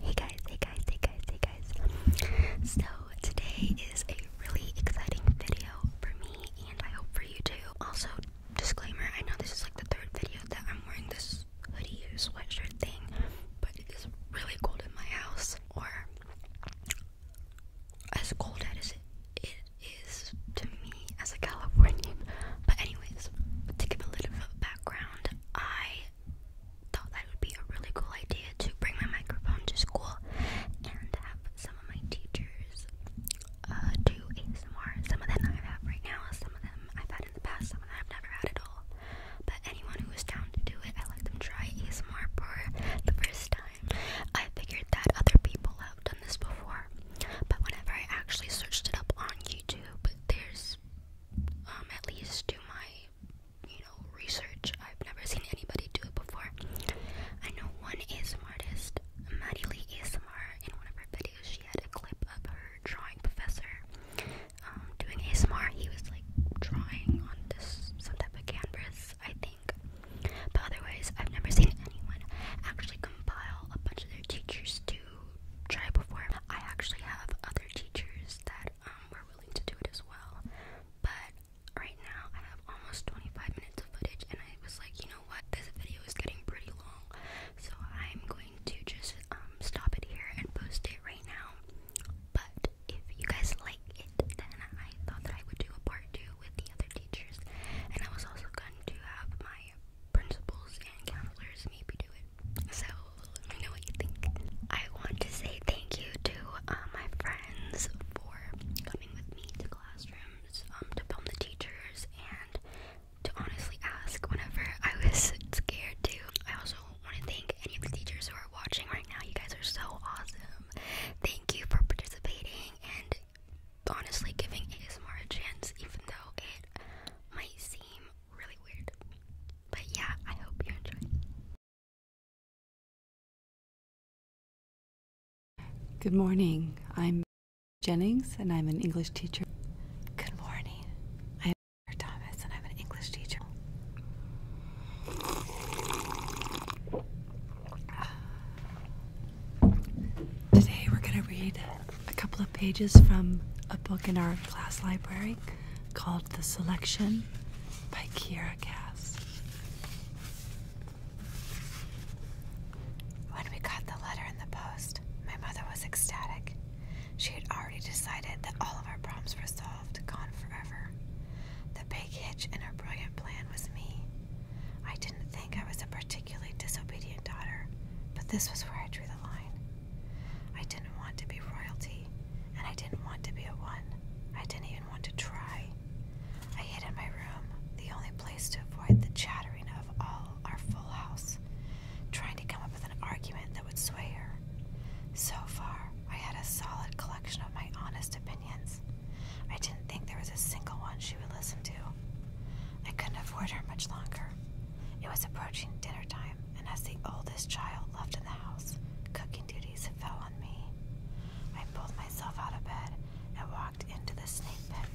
Hey guys, hey guys, hey guys, hey guys. So, today is a really exciting video for me and I hope for you too. Also, disclaimer I know this is like the third video that I'm wearing this hoodie or sweatshirt thing, but it is really cold in my house, or as cold as it, it is to me as a Californian. But anyways, to give a little bit of background, I thought that would be a really cool idea to bring my microphone to school and have some of my teachers uh, do ASMR. Some of them I have right now, some of them I've had in the past, some of them I've never had at all. But anyone who is down to do it, I let them try ASMR for the first time. I figured that other people have done this before, but whenever I actually searched it up on YouTube, there's um, at least to my you know research, I've never seen anybody do it before. I know one ASMR artist, Maddie Lee ASMR, in one of her videos she had a clip of her drawing professor um doing ASMR. He was like drawing on this some type of canvas, I think. But otherwise I've never seen anyone actually compile a bunch of their teachers do try before. I actually have other teachers that um, were willing to do it as well, but right now I have almost 25 minutes of footage, and I was like, you know what, this video is getting pretty long, so I'm going to just um, stop it here and post it right now. But if you guys like it, then I thought that I would do a part two with the other teachers, and I was also going to have my principals and counselors made do it. So let me know what you think. I want to say thank you to uh, my friends for coming with me to classrooms, um, to film the teachers, and to honestly ask whenever I was scared too. I also want to thank any of the teachers who are watching right now. You guys are so awesome. Thank you for participating and honestly giving ASMR a chance, even though it might seem really weird. But yeah, I hope you enjoy. Good morning. I'm Jennings, and I'm an English teacher. Good morning. I'm Thomas, and I'm an English teacher. Today we're going to read a couple of pages from a book in our class library called The Selection by Kiera Cass. When we got the letter in the post, my mother was ecstatic. She had already decided that all of our problems were solved, gone forever. The big hitch in her brilliant plan was me. I didn't think I was a particularly disobedient daughter, but this was where I drew the line. I didn't want to be royalty, and I didn't want to be a one. I didn't even want to try. I hid in my room, the only place to avoid the chattering of all our full house, trying to come up with an argument that would sway her. So far, I had a solid collection of my honest opinions. I didn't think there was a single one she would listen to. I couldn't afford her much longer. It was approaching dinner time, and as the oldest child left in the house, cooking duties fell on me. I pulled myself out of bed and walked into the snake pit.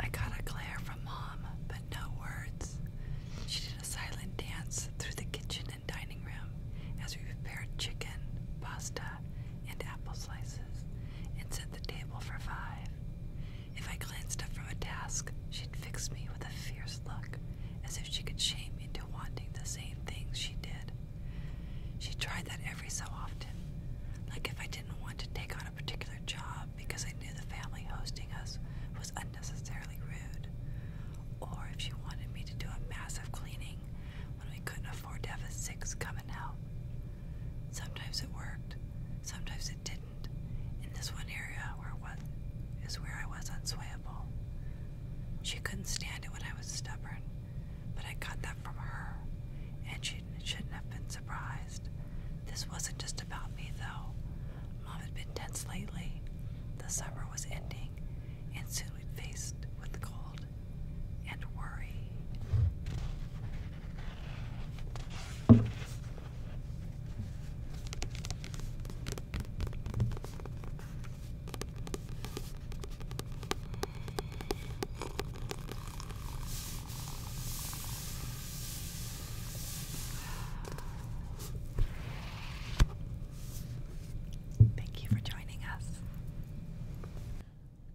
I got a glare from Mom, but no words. She did a silent dance through the kitchen and dining room as we prepared chicken, pasta, and apple slices and set the table for five. If I glanced up from a task, she'd fix me with a fierce look, as if she could shame me into wanting the same things she did. She tried that every so often, like if I didn't want to take on a particular job because I knew the family hosting us was unnecessarily rude, or if she wanted me to do a massive cleaning when we couldn't afford to have a six coming out. Sometimes it worked, sometimes it didn't. In this one area where what is where I was unswayable. She couldn't stand it when I was stubborn, but I got that from her, and she shouldn't have been surprised. This wasn't just about me, though. Mom had been tense lately. The summer was ending, and soon we'd faced with the cold and worry. Thank you for joining us.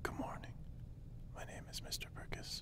Good morning. My name is Mr. Burkus.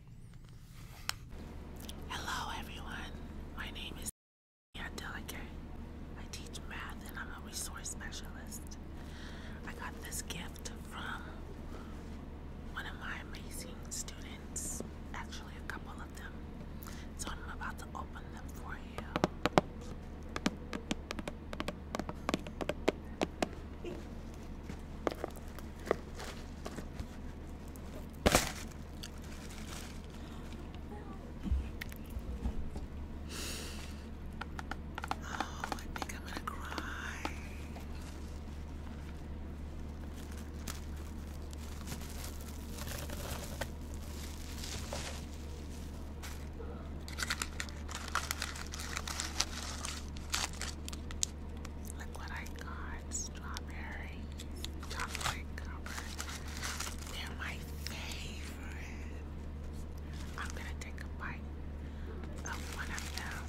Hello, everyone. My name is Delicate. I teach math and I'm a resource specialist. I got this gift from one of my amazing students, actually, a couple of them. So I'm about to open them for you. Oh, I think I'm gonna cry. Look what I got. Strawberry chocolate covered. They're my favorite. I'm gonna take a bite of one of them.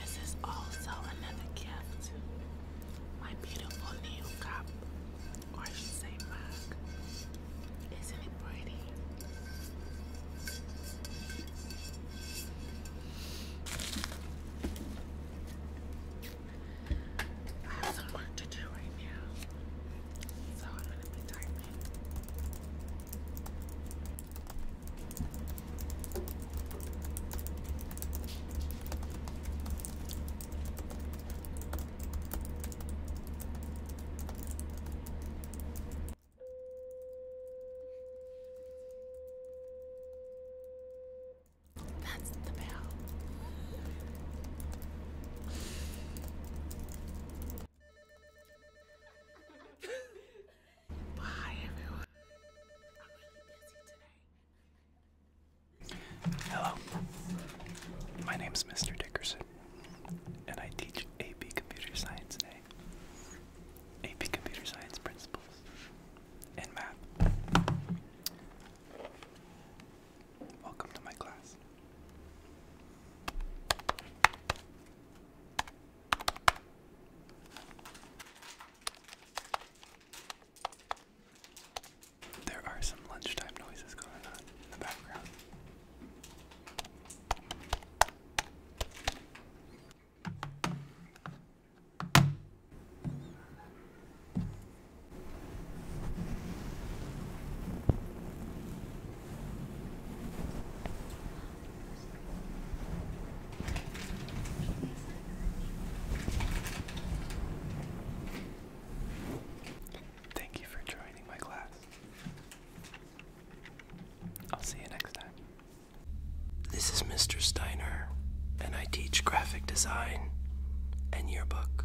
This is also another gift. My beautiful new cup or I should say mug. Isn't it pretty? I have some work to do right now, so I'm gonna be typing. That's the bell. Bye, everyone. I'm really busy today. Hello, my name is Mr. Dickerson, and I teach AP Computer Science today. AP Computer Science Principles and Math. Welcome to my class. There are some lunchtime noises going on in the background. Thank you for joining my class. I'll see you next time. This is Mr. Steiner, and I teach graphic design and yearbook.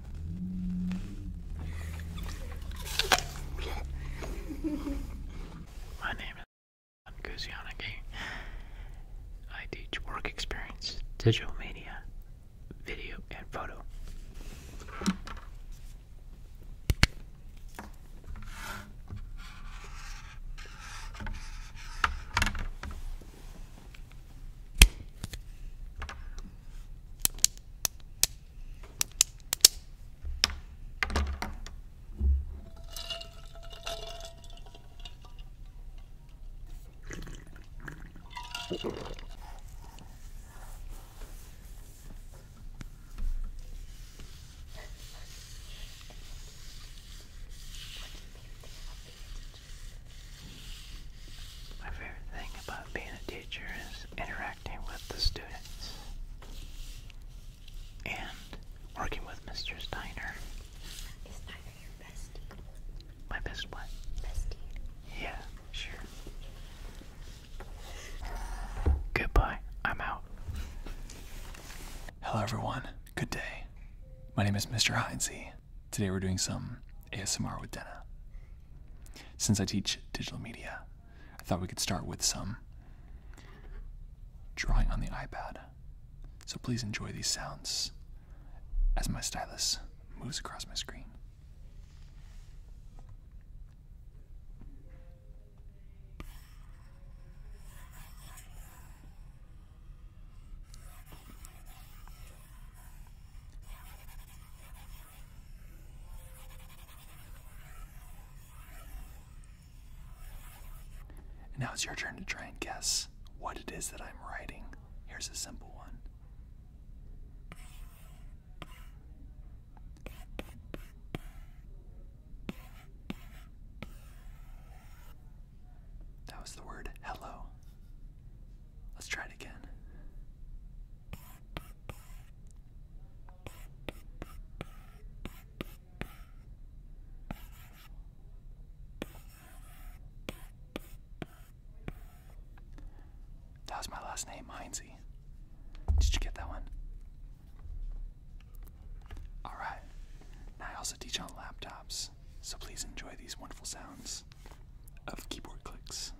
My name is Guzianagi. I teach work experience, digital media, video, and photo. My favorite thing about being a teacher is interacting with the students and working with Mr. Steiner. Is Steiner your bestie? My best what? Bestie. Yeah, sure. Goodbye. I'm out. Hello, everyone. Good day. My name is Mr. Heinze. Today we're doing some ASMR with Denna. Since I teach digital media, I thought we could start with some drawing on the iPad. So please enjoy these sounds as my stylus moves across my screen. And now it's your turn to try and guess what it is that I'm writing. Here's a simple one. That was the word hello. Let's try it again. That was my last name, Heinzie. Did you get that one? Alright. Now I also teach on laptops, so please enjoy these wonderful sounds of keyboard clicks.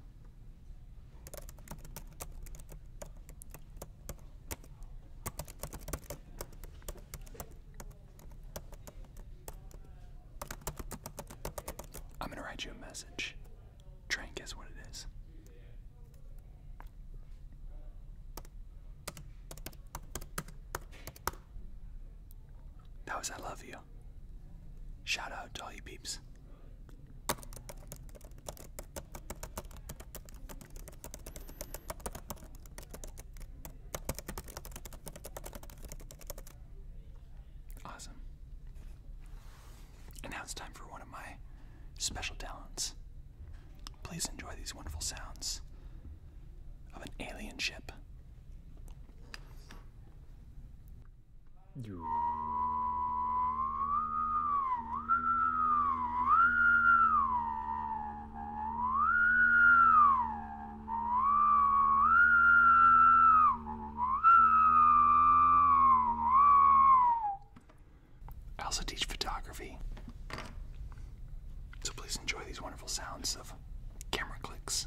I'm going to write you a message. Try and guess what it is. That was I love you you. Shout out to all you peeps. Awesome. And now it's time for one of my special talents. Please enjoy these wonderful sounds of an alien ship. I also teach photography. So please enjoy these wonderful sounds of camera clicks.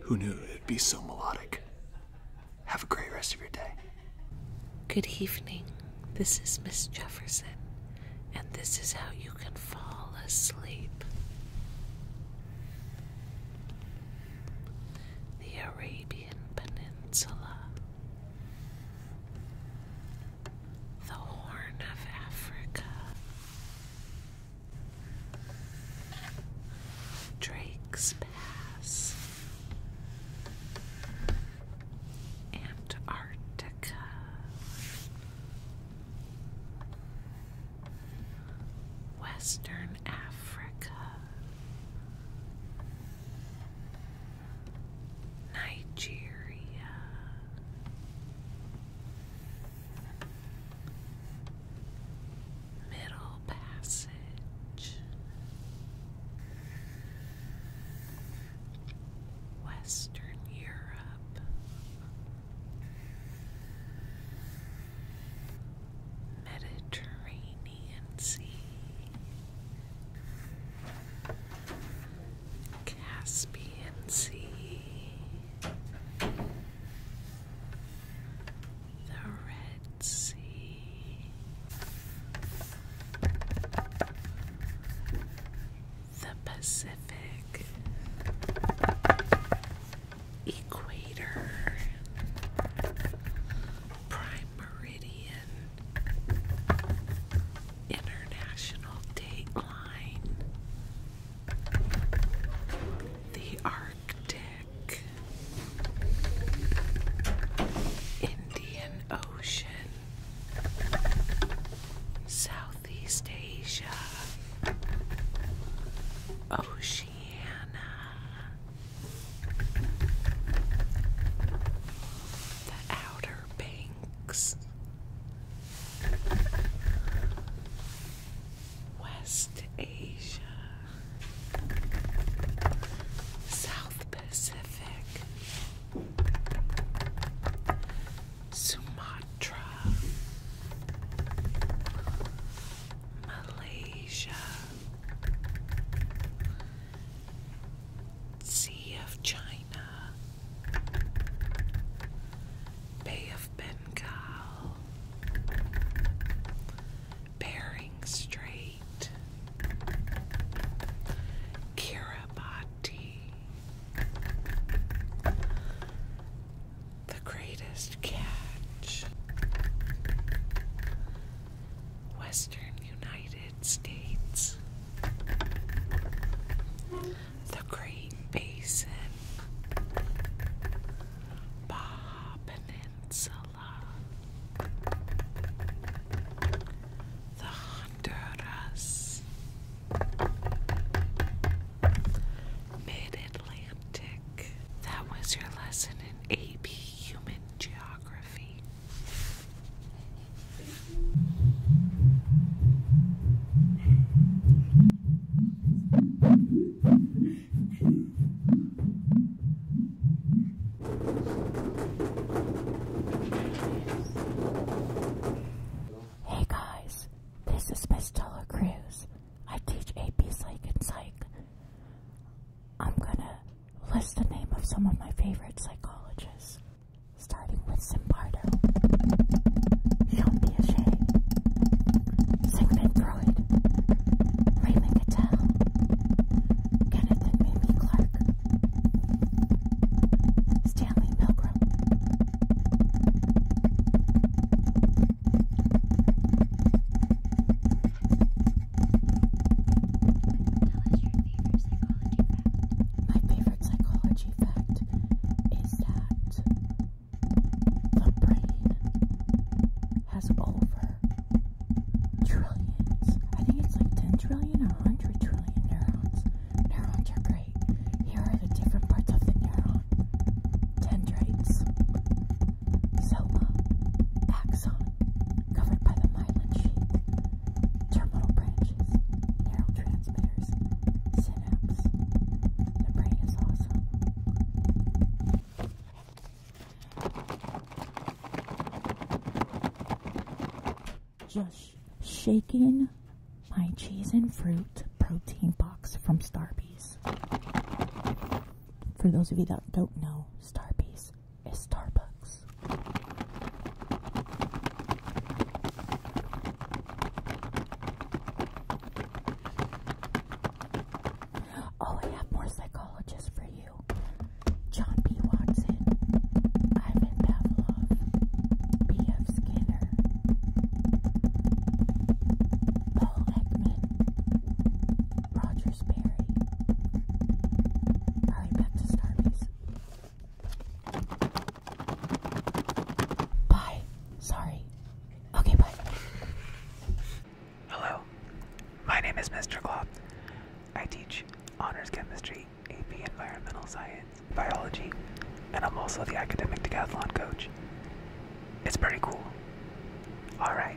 Who knew it'd be so melodic? Have a great rest of your day. Good evening. This is Miss Jefferson, and this is how you can fall asleep. The Arabian Peninsula the Horn of Africa. Drake's Pass, Antarctica, Western Africa, Nigeria, Middle Passage. Western Europe, Mediterranean Sea, Caspian Sea, the Red Sea, the Pacific, Equator, Prime Meridian. International Dateline, The Arctic, Indian Ocean, Southeast Asia, Oceania, the Outer Banks. Banks. West Asia. South Pacific. Sumatra. Malaysia. Sea of China. Bay of Bengal, Bering Strait, Kiribati, the greatest catch. Western United States, the Great Basin, Baja Peninsula, the Honduras, Mid Atlantic. That was your lesson in AP Human Geography. Hey guys, this is Miss Stella Cruz. I teach AP Psych and Psych. I'm gonna list the name of some of my favorite psychologists starting with Zimbardo. Jean Piaget, Sigmund Raymond Cattell, Kenneth and Clark, Stanley Milgram. My favorite psychology strange effect is that the brain has over trillions. I think it's like 10 trillion or 100 trillion neurons. Neurons are great. Here are the different parts of the neuron dendrites, soma, axon, covered by the myelin sheath, terminal branches, neural neurotransmitters, Just shaking my cheese and fruit protein box from Starbucks. For those of you that don't know, Starbucks is Starbucks. Oh, I have more psychologists for you. John B. Watson, Ivan Pavlov, B.F. Skinner, Paul Ekman, Roger Sperry. All right, back to Bye. Sorry. Okay, bye. Hello. My name is Mr. Glob. I teach honors chemistry, AP environmental science, biology, and I'm also the academic decathlon coach. It's pretty cool. All right.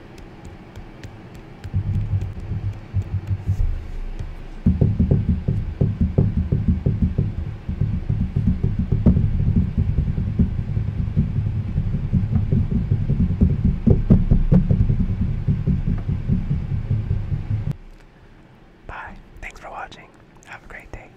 Bye. Thanks for watching. Have a great day.